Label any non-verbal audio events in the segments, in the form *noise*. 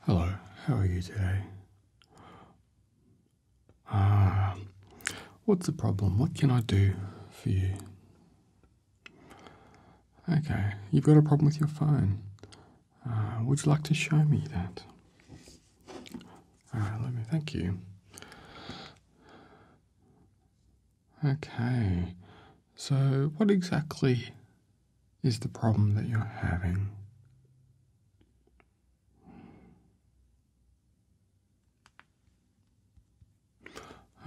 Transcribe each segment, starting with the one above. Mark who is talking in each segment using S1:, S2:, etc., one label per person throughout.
S1: Hello, how are you today? Ah, what's the problem? What can I do for you? Okay, you've got a problem with your phone. Ah, would you like to show me that? Alright, let me thank you. Okay, so, what exactly is the problem that you're having?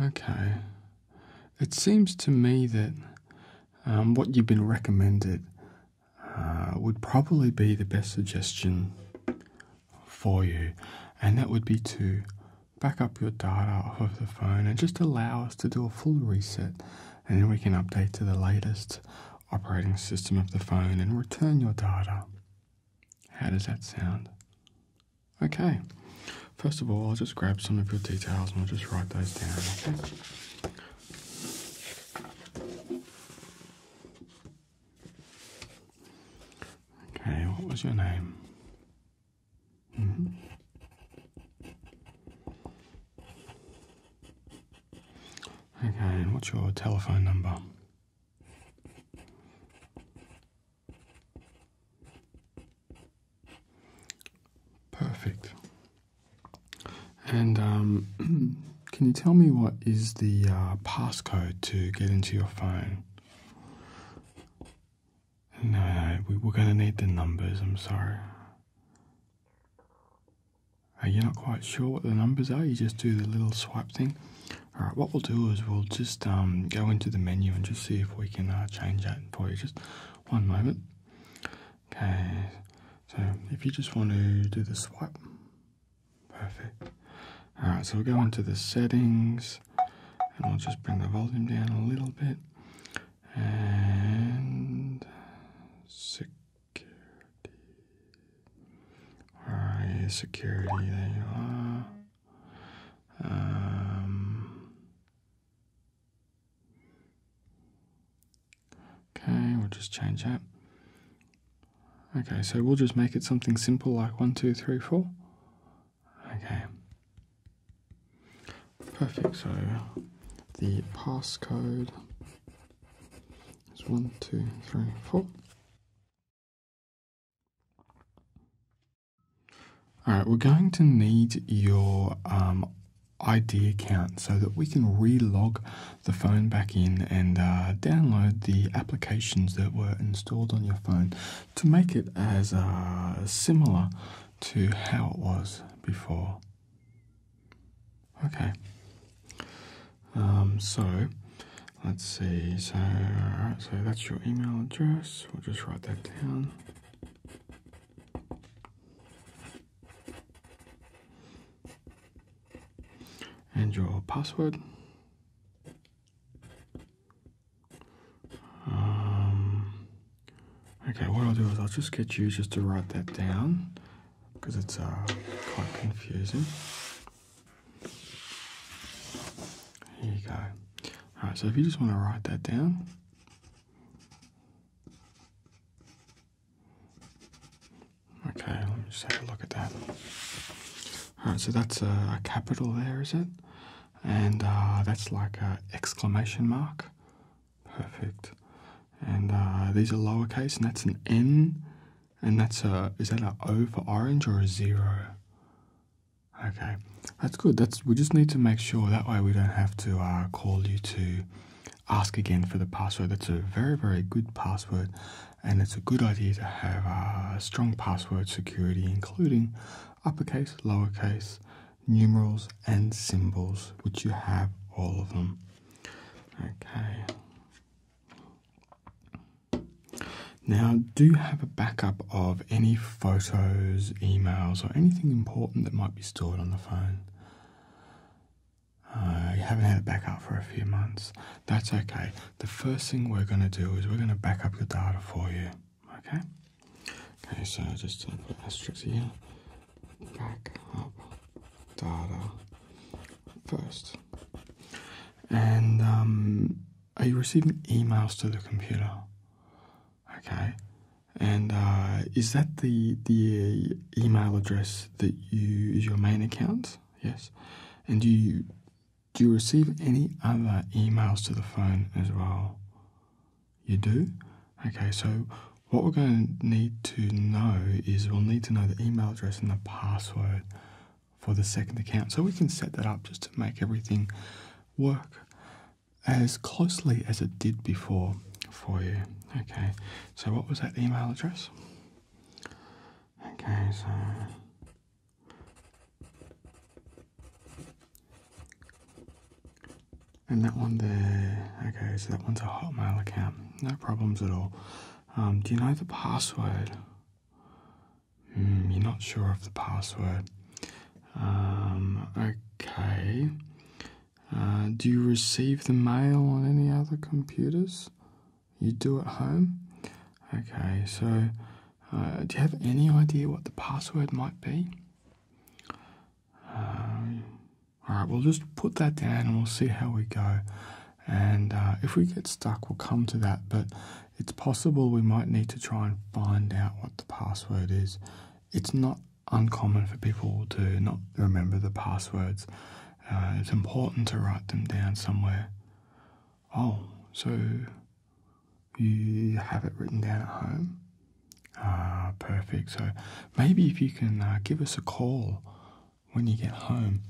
S1: Okay. It seems to me that um, what you've been recommended uh, would probably be the best suggestion for you, and that would be to back up your data off of the phone and just allow us to do a full reset and then we can update to the latest operating system of the phone and return your data. How does that sound? Okay, first of all, I'll just grab some of your details and I'll just write those down, okay? what was your name? *laughs* Okay, and what's your telephone number? Perfect. And um, *clears throat* can you tell me what is the uh, passcode to get into your phone? No, no, we, are going to need the numbers, I'm sorry. Are you not quite sure what the numbers are, you just do the little swipe thing. Alright, what we'll do is we'll just um, go into the menu and just see if we can uh, change that for you. Just one moment. Okay, so if you just want to do the swipe, perfect. Alright, so we'll go into the settings and we'll just bring the volume down a little bit and security. Alright, security, there you are. Um, okay, we'll just change that. Okay, so we'll just make it something simple like one, two, three, four. Okay. Perfect, so the passcode is one, two, three, four. Alright, we're going to need your um, ID account so that we can relog the phone back in and uh, download the applications that were installed on your phone to make it as uh, similar to how it was before. Okay. Um, so let's see. So, so that's your email address. We'll just write that down. And your password. Um, Okay, what I'll do is I'll just get you just to write that down because it's uh, quite confusing. Here you go. Alright, so if you just want to write that down. Okay, let me just have a look at that. Alright, so that's a, capital there, is it? And uh, that's like an exclamation mark. Perfect. And uh, these are lowercase, and that's an N, and that's a is that a O for orange or a zero? Okay, that's good. That's we just need to make sure that way we don't have to uh, call you to ask again for the password. That's a very very good password, and it's a good idea to have a uh, strong password security, including uppercase, lowercase, numerals and symbols, which you have all of them. Okay. Now, do you have a backup of any photos, emails, or anything important that might be stored on the phone? Uh, you haven't had a backup for a few months. That's okay. The first thing we're going to do is we're going to back up your data for you. Okay? Okay, so just put uh, asterisks here back up data first. And um, are you receiving emails to the computer? Okay. And uh, is that the the email address that you is your main account? Yes. And do you do you receive any other emails to the phone as well? You do? Okay, so what we're going to need to know is we'll need to know the email address and the password for the second account. So we can set that up just to make everything work as closely as it did before for you. Okay, so what was that email address? Okay, so. And that one there, okay, so that one's a Hotmail account. No problems at all. Um, do you know the password? Hmm, you're not sure of the password. Um, okay. Uh, do you receive the mail on any other computers? You do at home? Okay, so uh, do you have any idea what the password might be? Um, all right, we'll just put that down and we'll see how we go. And uh, if we get stuck, we'll come to that. But it's possible we might need to try and find out what the password is. It's not uncommon for people to not remember the passwords. Uh, it's important to write them down somewhere. Oh, so you have it written down at home? Ah, perfect. So maybe if you can uh, give us a call when you get home,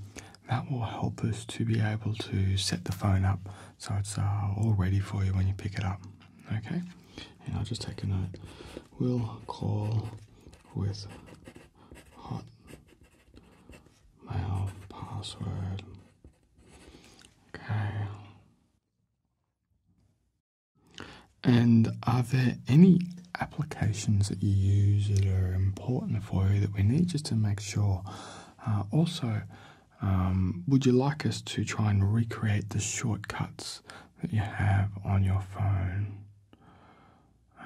S1: that will help us to be able to set the phone up so it's uh, all ready for you when you pick it up. Okay? And I'll just take a note. We'll call with hot mail password. Okay. And are there any applications that you use that are important for you that we need just to make sure? Uh, also, um, would you like us to try and recreate the shortcuts that you have on your phone?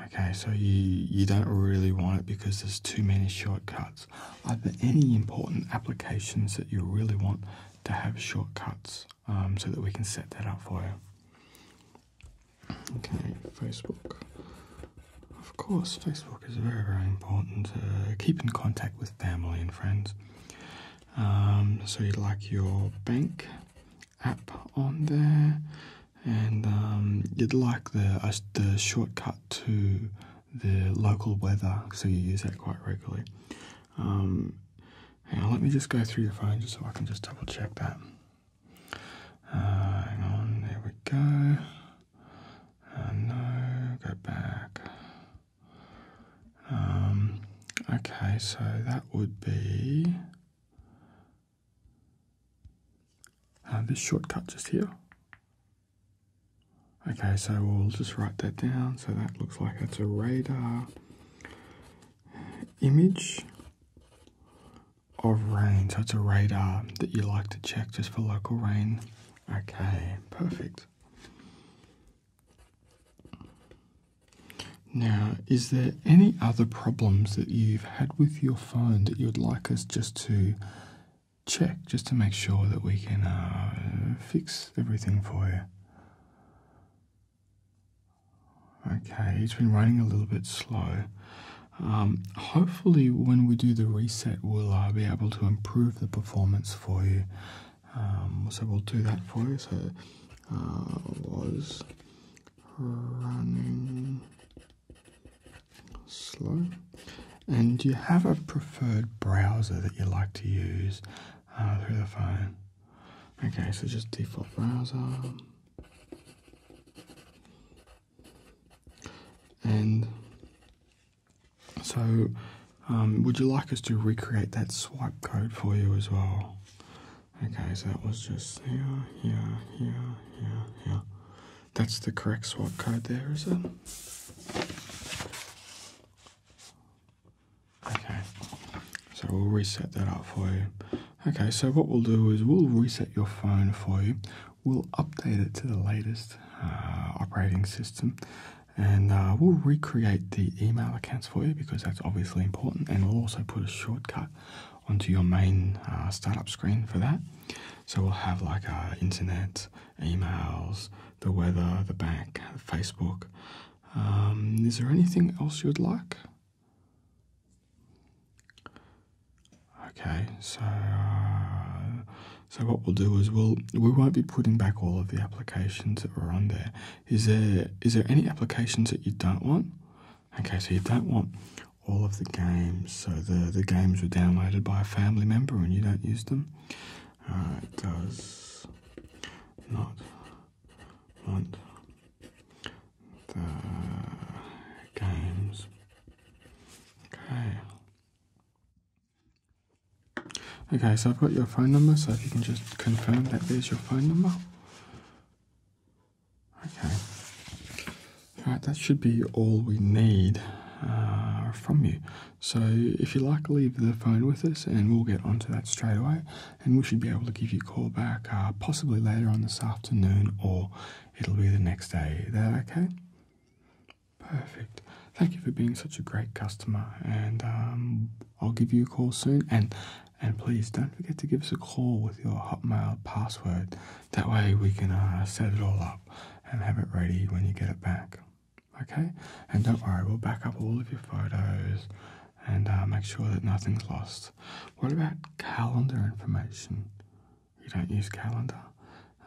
S1: Okay, so you, you don't really want it because there's too many shortcuts. Are there any important applications that you really want to have shortcuts um, so that we can set that up for you? Okay, Facebook. Of course, Facebook is very, very important to uh, keep in contact with family and friends. Um, so you'd like your bank app on there, and um, you'd like the uh, the shortcut to the local weather, so you use that quite regularly. Um, Hang let me just go through your phone just so I can just double check that. Uh, hang on, there we go. Uh, no, go back. Um, okay, so that would be uh, this shortcut just here. Okay, so we'll just write that down. So that looks like that's a radar image of rain. So it's a radar that you like to check just for local rain. Okay, perfect. Now, is there any other problems that you've had with your phone that you'd like us just to check, just to make sure that we can uh, fix everything for you? Okay, it's been running a little bit slow. Um, hopefully, when we do the reset, we'll uh, be able to improve the performance for you. Um, so we'll do that for you. So uh, was running slow. And do you have a preferred browser that you like to use uh, through the phone? Okay, so just default browser. And so, um, would you like us to recreate that swipe code for you as well? Okay, so that was just here, here, here, here, here. That's the correct swipe code there, is it? Okay, so we'll reset that up for you. Okay, so what we'll do is we'll reset your phone for you. We'll update it to the latest uh, operating system, and uh, we'll recreate the email accounts for you because that's obviously important. And we'll also put a shortcut onto your main uh, startup screen for that. So we'll have like uh, internet, emails, the weather, the bank, Facebook. Um, is there anything else you'd like? Okay, so uh, so what we'll do is we'll we won't be putting back all of the applications that were on there. Is there is there any applications that you don't want? Okay, so you don't want all of the games. So the the games were downloaded by a family member and you don't use them. Uh, does not want the games. Okay. Okay, so I've got your phone number, so if you can just confirm that there's your phone number. Okay. Alright, that should be all we need uh, from you. So if you like, leave the phone with us and we'll get onto that straight away and we should be able to give you a call back uh, possibly later on this afternoon or it'll be the next day. Is that okay? Perfect. Thank you for being such a great customer, and um, I'll give you a call soon. And and please don't forget to give us a call with your Hotmail password. That way we can uh, set it all up and have it ready when you get it back. Okay? And don't worry, we'll back up all of your photos and uh, make sure that nothing's lost. What about calendar information? You don't use calendar.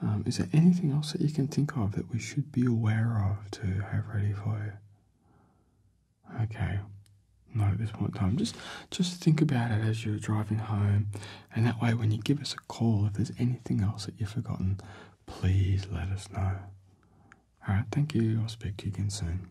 S1: Um, is there anything else that you can think of that we should be aware of to have ready for you? Okay, not at this point in time. Just, just think about it as you're driving home, and that way, when you give us a call, if there's anything else that you've forgotten, please let us know. All right, thank you. I'll speak to you again soon.